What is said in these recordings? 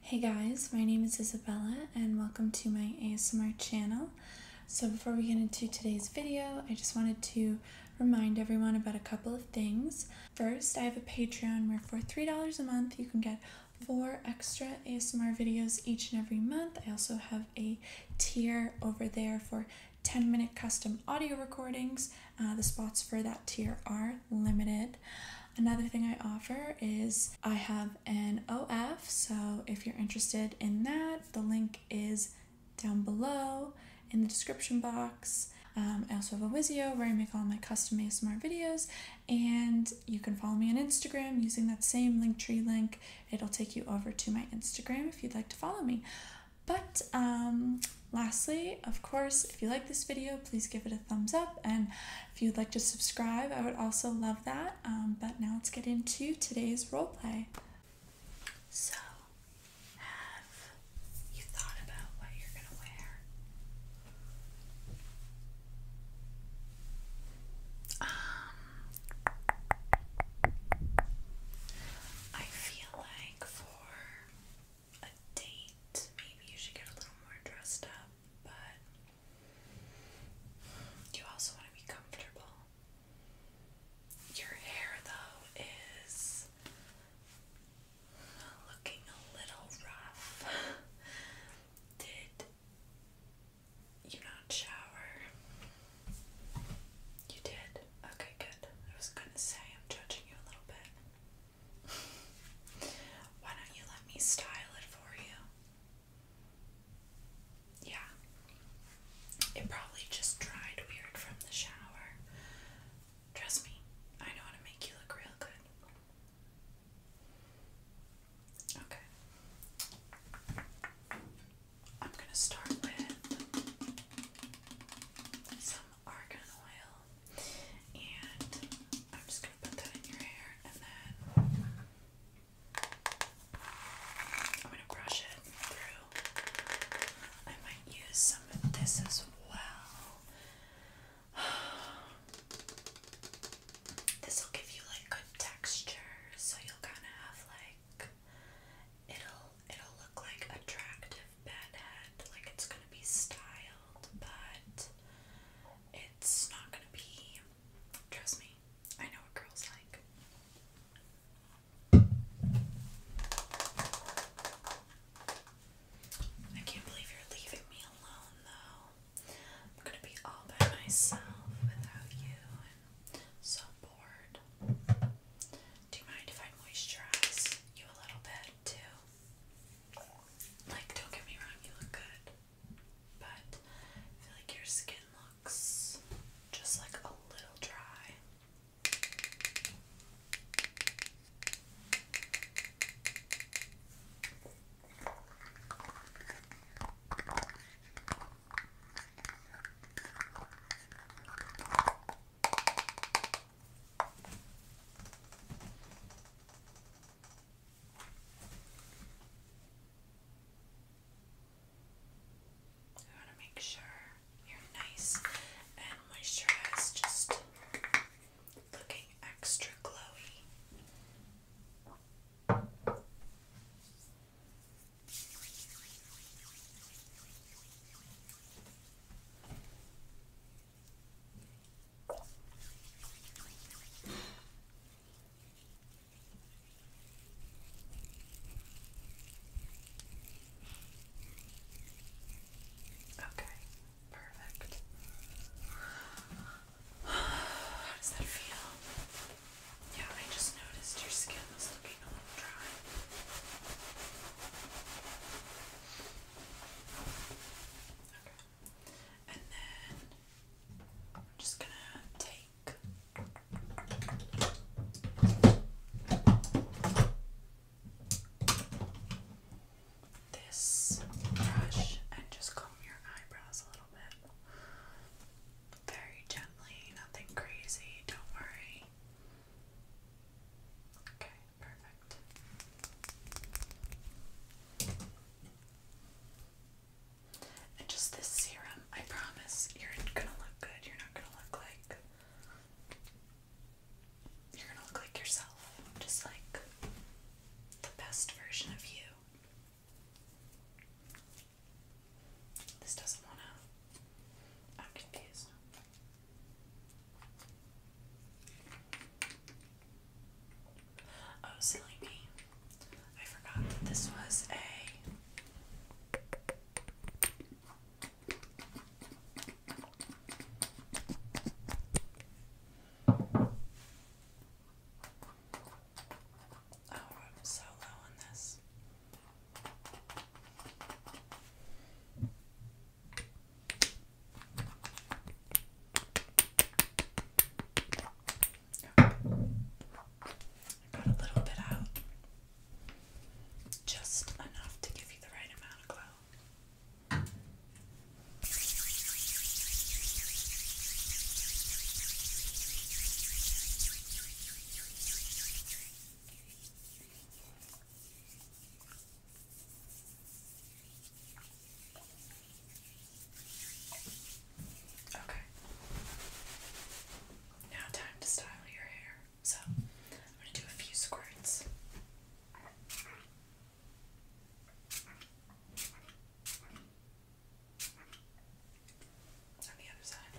Hey guys, my name is Isabella and welcome to my ASMR channel. So before we get into today's video, I just wanted to remind everyone about a couple of things. First, I have a Patreon where for $3 a month you can get four extra ASMR videos each and every month. I also have a tier over there for 10 minute custom audio recordings. Uh, the spots for that tier are limited. Another thing I offer is I have an OF, so if you're interested in that, the link is down below in the description box. Um, I also have a Wizio where I make all my custom ASMR videos, and you can follow me on Instagram using that same Linktree link. It'll take you over to my Instagram if you'd like to follow me. But um, lastly, of course, if you like this video, please give it a thumbs up. And if you'd like to subscribe, I would also love that. Um, but now let's get into today's roleplay. So, have you thought about what you're going to wear? Um, I feel like for a date, maybe you should get a little more dressed up, but you also want to be comfortable. Your hair, though, is looking a little rough. Did you not shower? You did? Okay, good. I was gonna say, I'm judging you a little bit. Why don't you let me style it for you? Yeah. It probably just dried weird from the shower. Trust me, I know how to make you look real good. Okay. I'm going to start with argan oil, and I'm just gonna put that in your hair, and then I'm gonna brush it through. I might use some of this as well. this will give you like good texture, so you'll kind of have like it'll it'll look like attractive bad head. Like it's gonna be styled, but it's not gonna be. Trust me, I know what girls like. I can't believe you're leaving me alone though. I'm gonna be all by myself without you and so bored. Do you mind if I moisturize you a little bit? too. Like, don't get me wrong, you look good. But I feel like your skin looks just like a little dry. I want to make sure you're nice and moisturized, just looking extra glowy. Okay, perfect. How does that feel? Yeah, I just noticed your skin was and then I'm just gonna take this brush and just comb your eyebrows a little bit. Very gently, nothing crazy, don't worry. Okay, perfect. And just this serum, I promise you're gonna look good. You're not gonna look like you're gonna look like yourself. Just like the best version of you. This doesn't wanna I'm confused. Oh, silly me. I forgot this was a. Oh, I'm so low on this. Okay. I got a little bit out. Just enough to give you the right amount of glow. Okay. Okay. Now time to style your hair. So I'm going to do a few squirts. On the other side.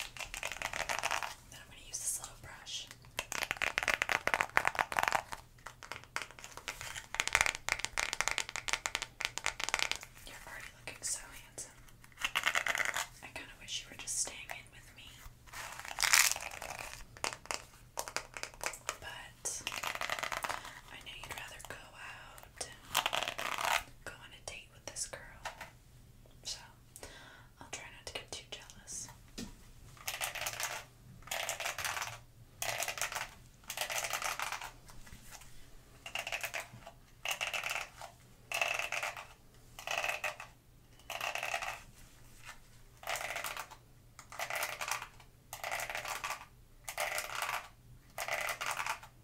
I'm going to use this little brush. You're already looking so handsome. I kind of wish you were just staying in with me. But I know you'd rather go out, go on a date with this girl. So I'll try not to get too jealous.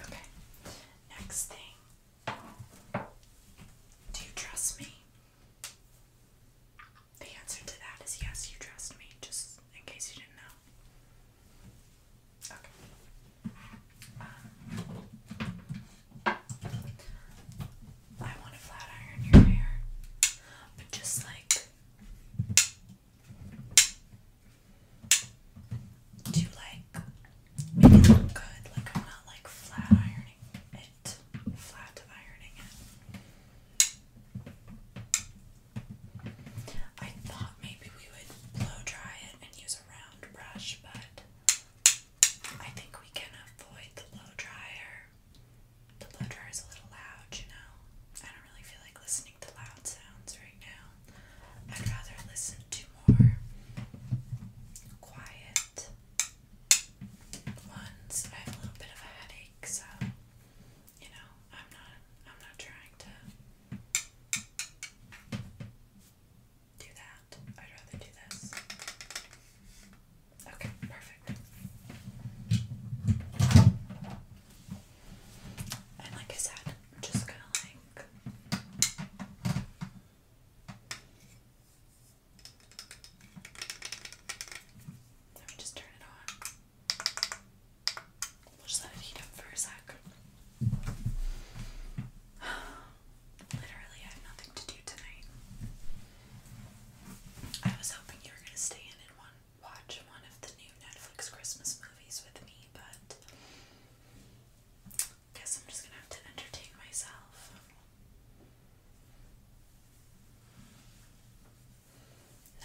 Okay. Next thing. Do you trust me? The answer to that is yes, you trust me, just in case you didn't know. Okay. Um, I want to flat iron your hair, but just like do like make look good. Like I'm not like flat ironing it, flat ironing it. I thought maybe we would blow dry it and use a round brush, but I think we can avoid the blow dryer the blow dryer is a little loud, you know. I don't really feel like listening to loud sounds right now. I'd rather listen to more quiet ones. I have a little bit of a headache, so you know, I'm not I'm not trying to do that. I'd rather do this. Okay, perfect. And like I said, I'm just gonna like let me just turn it on. We'll just let it heat up for a sec. Literally, I have nothing to do tonight. I was hoping you were going to stay in and watch one of the new Netflix Christmas movies with me, but guess I'm just going to have to entertain myself.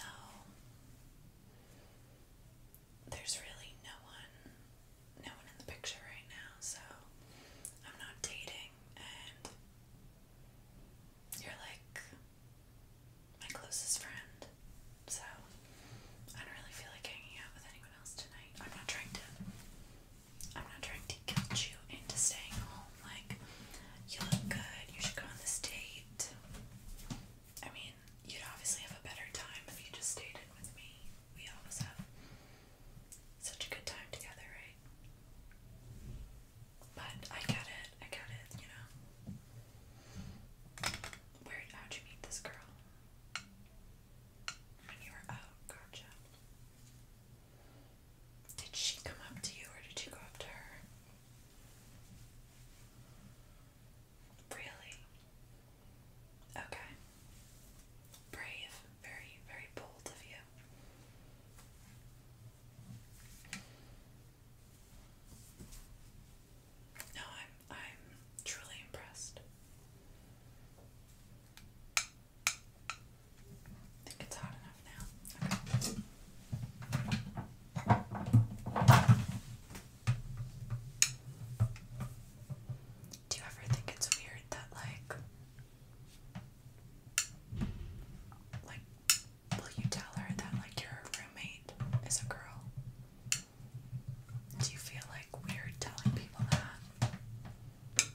No. There's really no one no one in the picture right now, so I'm not dating you're like my closest friend. So I don't really feel like hanging out with anyone else tonight. I'm not trying to I'm not trying to guilt you into staying home like you look good, you should go on this date. I mean, you'd obviously have a better time if you just stayed with me. We always have such a good time together, right? But I get it, I get it, you know. Where how'd you meet this girl? When you were out, gotcha. Did she come up to you or did you go up to her? Really? Okay. Brave, very, very bold of you. No, I'm I'm truly impressed. I think it's hot enough now. Do you ever think it's weird that like like will you tell her that like your roommate is a girl? Do you feel like weird telling people that?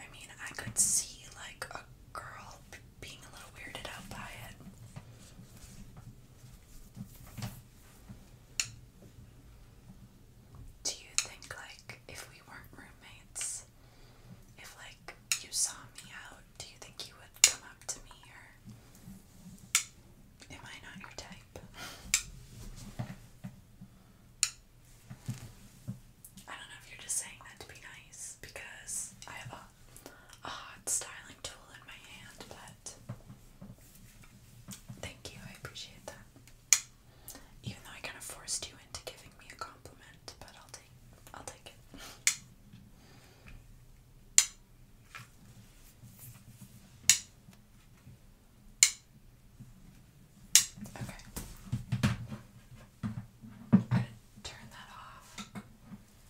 I mean, I could see like a girl being a little weirded out by it. Do you think, like, if we weren't roommates, if, like, you saw me out, do you think you would come up to me or am I not your type? I don't know if you're just saying that to be nice because I have a hot styling tool in my hand, but thank you, I appreciate that. Even though I kind of forced you into giving me a compliment, but I'll take I'll take it. Okay. turn that off.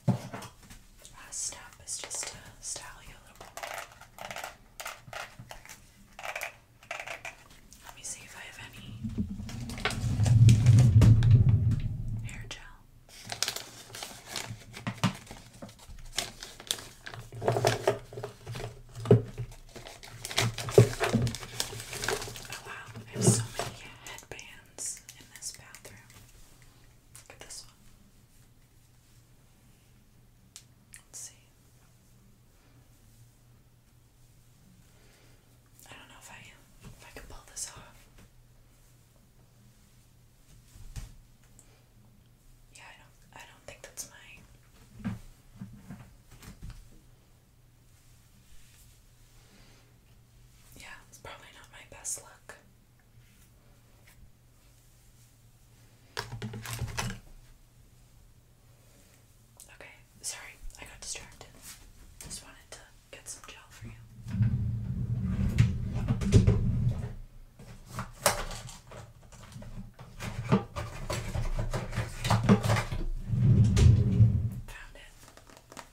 Last uh, step is just to style you a little bit. Let me see if I have any hair gel. Oh wow, I have so many headbands in this bathroom. Look at this one. Let's see. I don't know if I if I can pull this off. Yeah, I don't I don't think that's my yeah, it's probably not my best look. Okay, sorry, I got distracted. Just wanted to get some gel for you. Found it.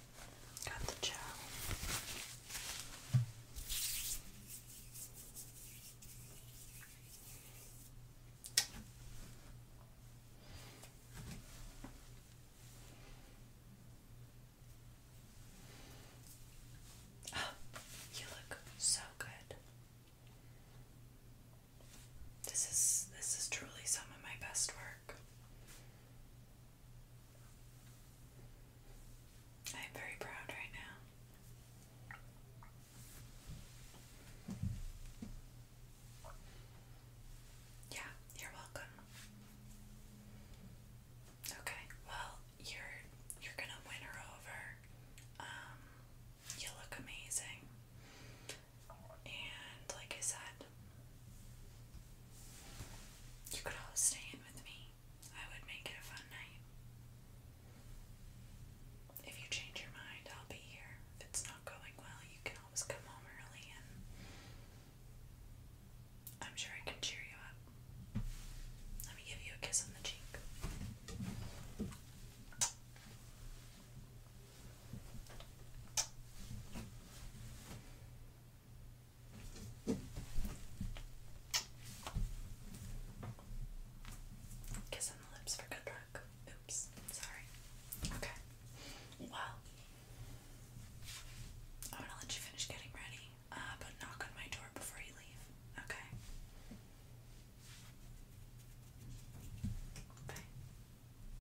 Got the gel. Oh, you look so good. This is this is truly some of my best work. I am very proud right now. Yeah, you're welcome. Okay, well, you're you're gonna win her over. Um, you look amazing. And like I said, you could all stay in with me. I would make it a fun night. If you change your mind, I'll be here. If it's not going well, you can always come home early and I'm sure I can cheer you up. Let me give you a kiss on the cheek. Kiss on the lips for good luck. Oops, sorry. Okay. Well, I'm gonna let you finish getting ready, uh, but knock on my door before you leave. Okay. Bye.